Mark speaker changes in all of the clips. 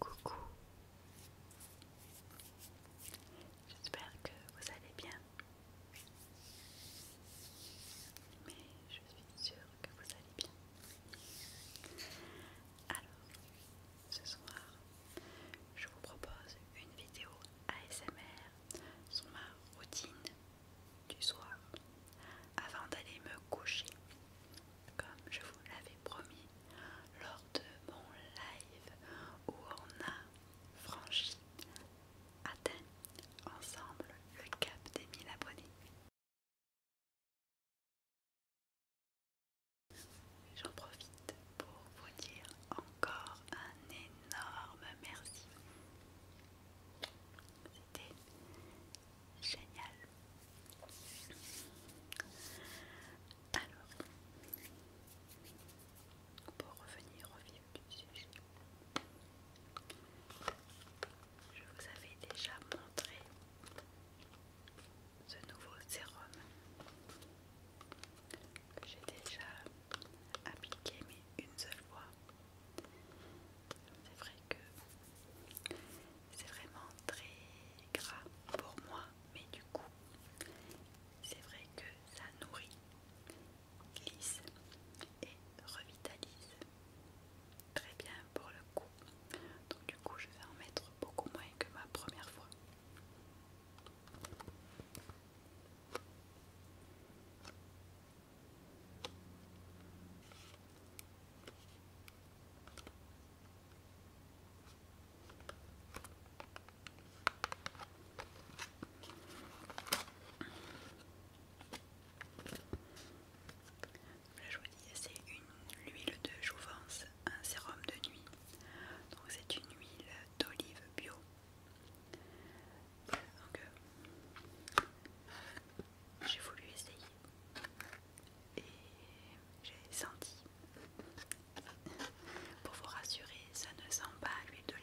Speaker 1: Coucou, j'espère que vous allez bien, mais je suis sûre que vous allez bien. Alors, ce soir, je vous propose une vidéo ASMR sur ma routine du soir avant d'aller me coucher, comme je vous l'avais promis lors de mon live où on a franchi, atteint ensemble le cap des 1000 abonnés. J'en profite pour vous dire encore un énorme merci. C'était génial. Alors, pour revenir au vif du sujet, je vous avais déjà montré ce nouveau sérum que j'ai déjà appliqué mais une seule fois. C'est vrai que c'est vraiment très gras pour moi, mais du coup, c'est vrai que ça nourrit, glisse et revitalise très bien pour le coup. Donc du coup, je vais en mettre beaucoup moins que ma première fois je vous dis, c'est l'huile de jouvence un sérum de nuit. Donc c'est une huile d'olive bio. Donc euh, j'ai voulu essayer et j'ai senti. Pour vous rassurer, ça ne sent pas l'huile d'olive.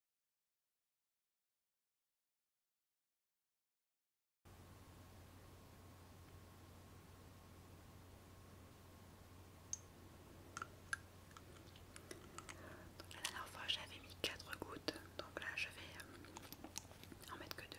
Speaker 1: la dernière fois j'avais mis 4 gouttes, donc là je vais euh, en mettre que deux.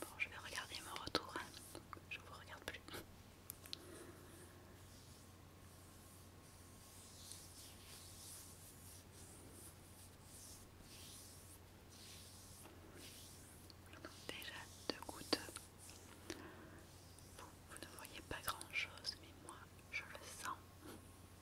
Speaker 1: Bon, je vais regarder mon retour, hein. je vous regarde plus. déjà deux gouttes. vous ne voyez pas grand chose, mais moi je le sens.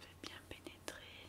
Speaker 1: Je vais bien pénétrer.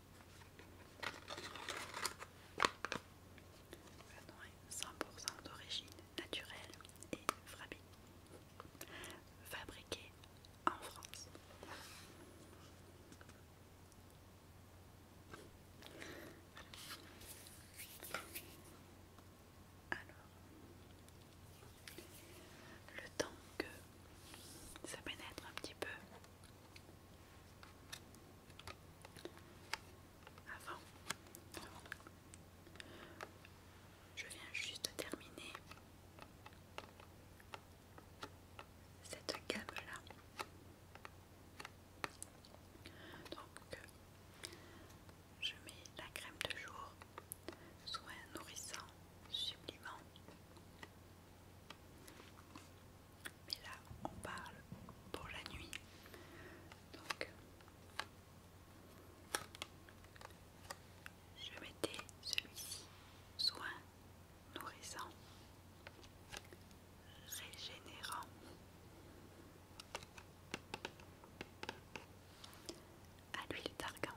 Speaker 1: 100% d'origine naturelle et fabriquée Fabriqué en France. Alors, le temps que ça pénètre un petit peu avant, je viens juste de terminer cette gamme-là. Donc, je mets la crème de jour, soin nourrissant, sublimant. Mais là, on parle pour la nuit. Donc, je mettais celui-ci soin nourrissant, régénérant. À l'huile d'argan.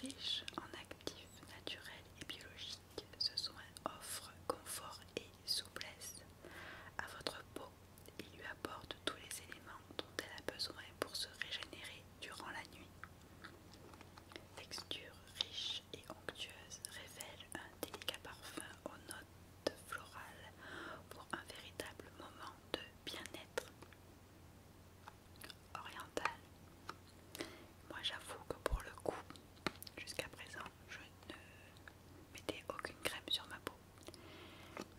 Speaker 1: Riche en actifs naturels et biologiques, ce soin offre confort et souplesse à votre peau. Il lui apporte tous les éléments dont elle a besoin pour se régénérer durant la nuit. Texture riche et onctueuse révèle un délicat parfum aux notes florales pour un véritable moment de bien-être orientale. Moi j'avoue que pour le coup, jusqu'à présent, je ne mettais aucune crème sur ma peau.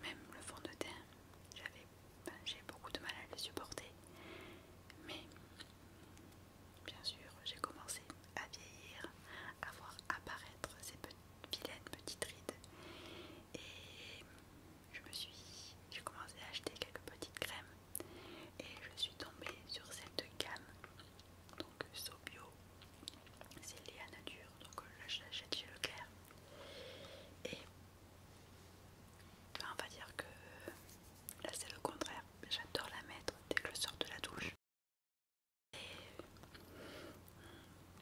Speaker 1: Même le fond de teint, j'avais, ben, j'ai beaucoup de mal à le supporter. Mais bien sûr, j'ai commencé à vieillir, à voir apparaître ces petites vilaines petites rides. Et je me suis, j'ai commencé à acheter quelques petites crèmes et je suis tombée sur cette gamme, donc Sobio, c'est à Nature, donc euh, l'achète chez Leclerc. Et on va dire que là c'est le contraire, j'adore la mettre dès que je sors de la douche.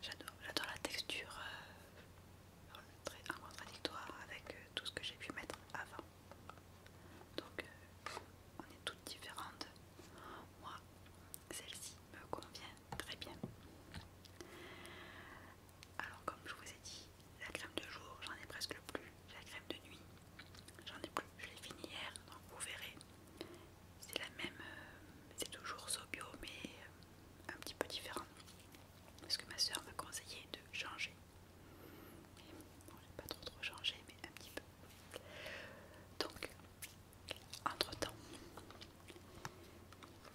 Speaker 1: J'adore la texture euh, très contradictoire avec euh, tout ce que j'ai pu mettre avant. Donc euh, on est toutes différentes. Moi, celle-ci me convient très bien. Alors comme je vous ai dit, la crème de jour, j'en ai presque plus. La crème de nuit, j'en ai plus. Je l'ai fini hier, donc vous verrez. C'est la même, euh, c'est toujours Sobio, mais un petit peu différent. Parce que ma soeur m'a conseillé de changer. Et pas trop trop changé, mais un petit peu. Donc, entre-temps,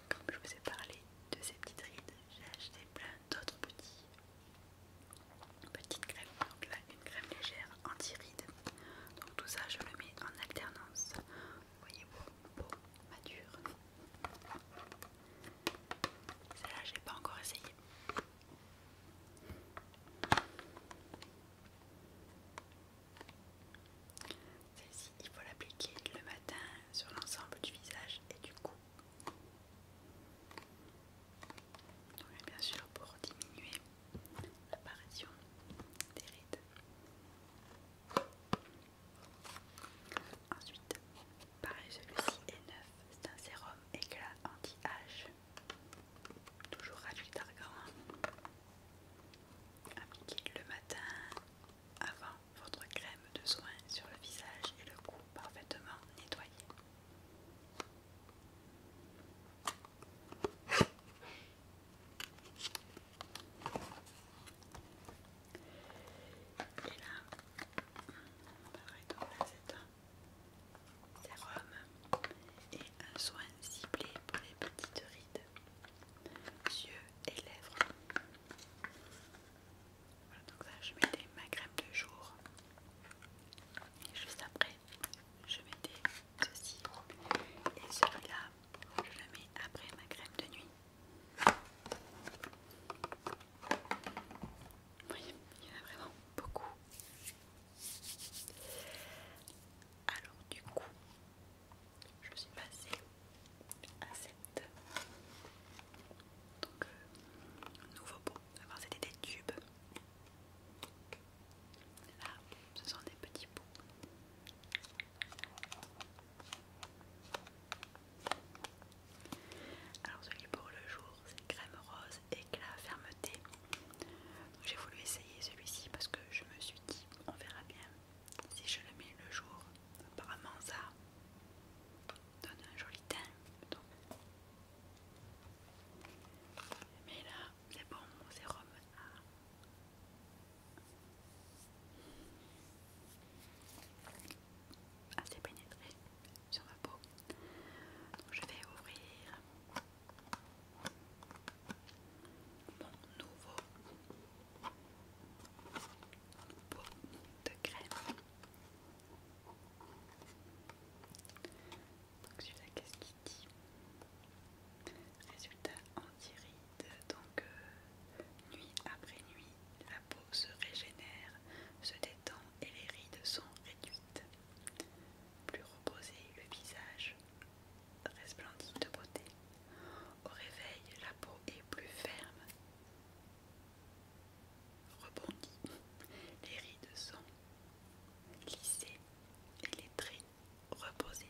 Speaker 1: comme je vous ai parlé de ces petites rides, j'ai acheté plein d'autres petits petites crèmes. Donc là, une crème légère anti-rides. Donc tout ça, je le mets en alternance. voyez, vous beau, mature. Celle-là, je n'ai pas encore essayé. Celle-ci, il faut l'appliquer le matin sur l'ensemble du visage et du cou. bien sûr, pour diminuer l'apparition des rides. Ensuite, pareil, celui-ci est neuf. C'est un sérum éclat anti-âge. Toujours à d'argent. Appliquez le matin avant votre crème de soin sur le visage et le cou parfaitement nettoyé. Et là, on va là c'est un sérum et un soin ciblé pour les petites rides, yeux et lèvres. Voilà, donc là je mettais ma crème de jour et juste après je mettais ceci et celui-là je le mets après ma crème de nuit oui, il y en a vraiment beaucoup. Alors du coup, je suis passée à cette donc euh, nouveau pot. Avant c'était des tubes. Là, ce sont des petits pots. Alors celui pour le jour c'est crème rose éclat fermeté. J'ai voulu essayer celui-ci parce que je me suis dit on verra bien si je le mets le jour. Apparemment ça donne un joli teint. Mais là c'est bon c'est sérum assez ah, pénétré sur ma peau. je vais ouvrir mon nouveau pot de crème. Donc celui-là, qu'est-ce qu'il dit Résultat anti-rides donc euh, nuit après nuit, la peau se régénère, se détend et les rides sont réduites. Plus reposé, le visage resplendit de beauté. Au réveil, la peau est plus ferme, rebondie. Les rides sont lissées et les traits reposés.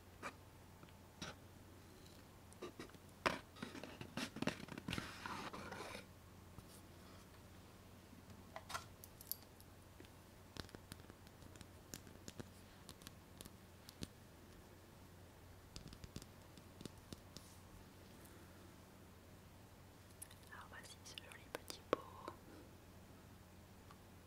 Speaker 1: Alors voici ce joli petit pot.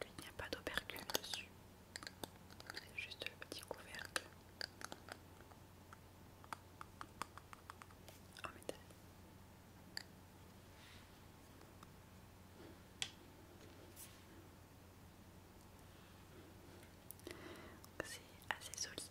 Speaker 1: lui, il n'y a pas d'opercule dessus, c'est juste le petit couvercle C'est assez solide.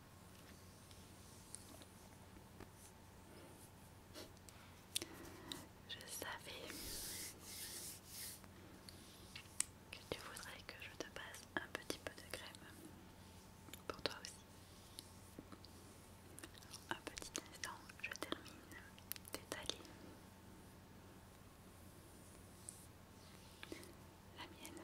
Speaker 1: Je savais que tu voudrais que je te passe un petit peu de crème pour toi aussi. Un petit instant, je termine d'étaler la mienne.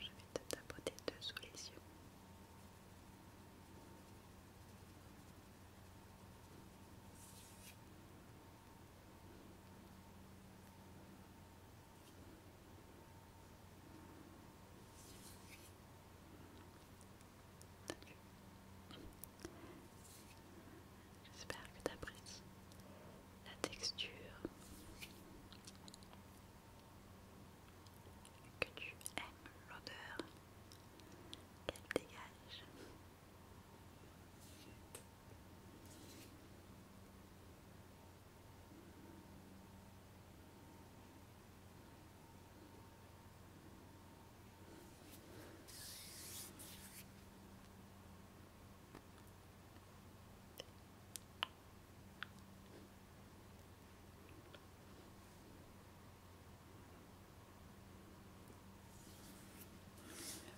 Speaker 1: je vais te tapoter sous les yeux. J'espère que tu apprécies la texture, que tu aimes l'odeur qu'elle dégage.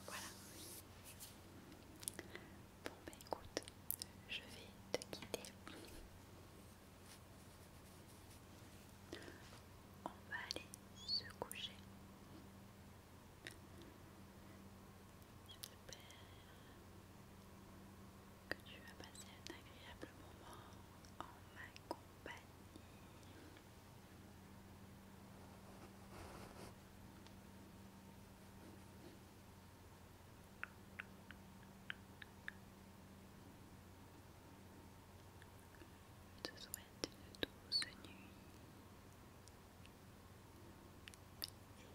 Speaker 1: Voilà. Bon, ben écoute, je vais te quitter. On va aller se coucher. J'espère que tu vas passer un agréable moment en ma compagnie. Je te souhaite une douce et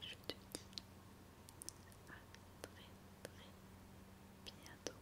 Speaker 1: je te dis à très très bientôt.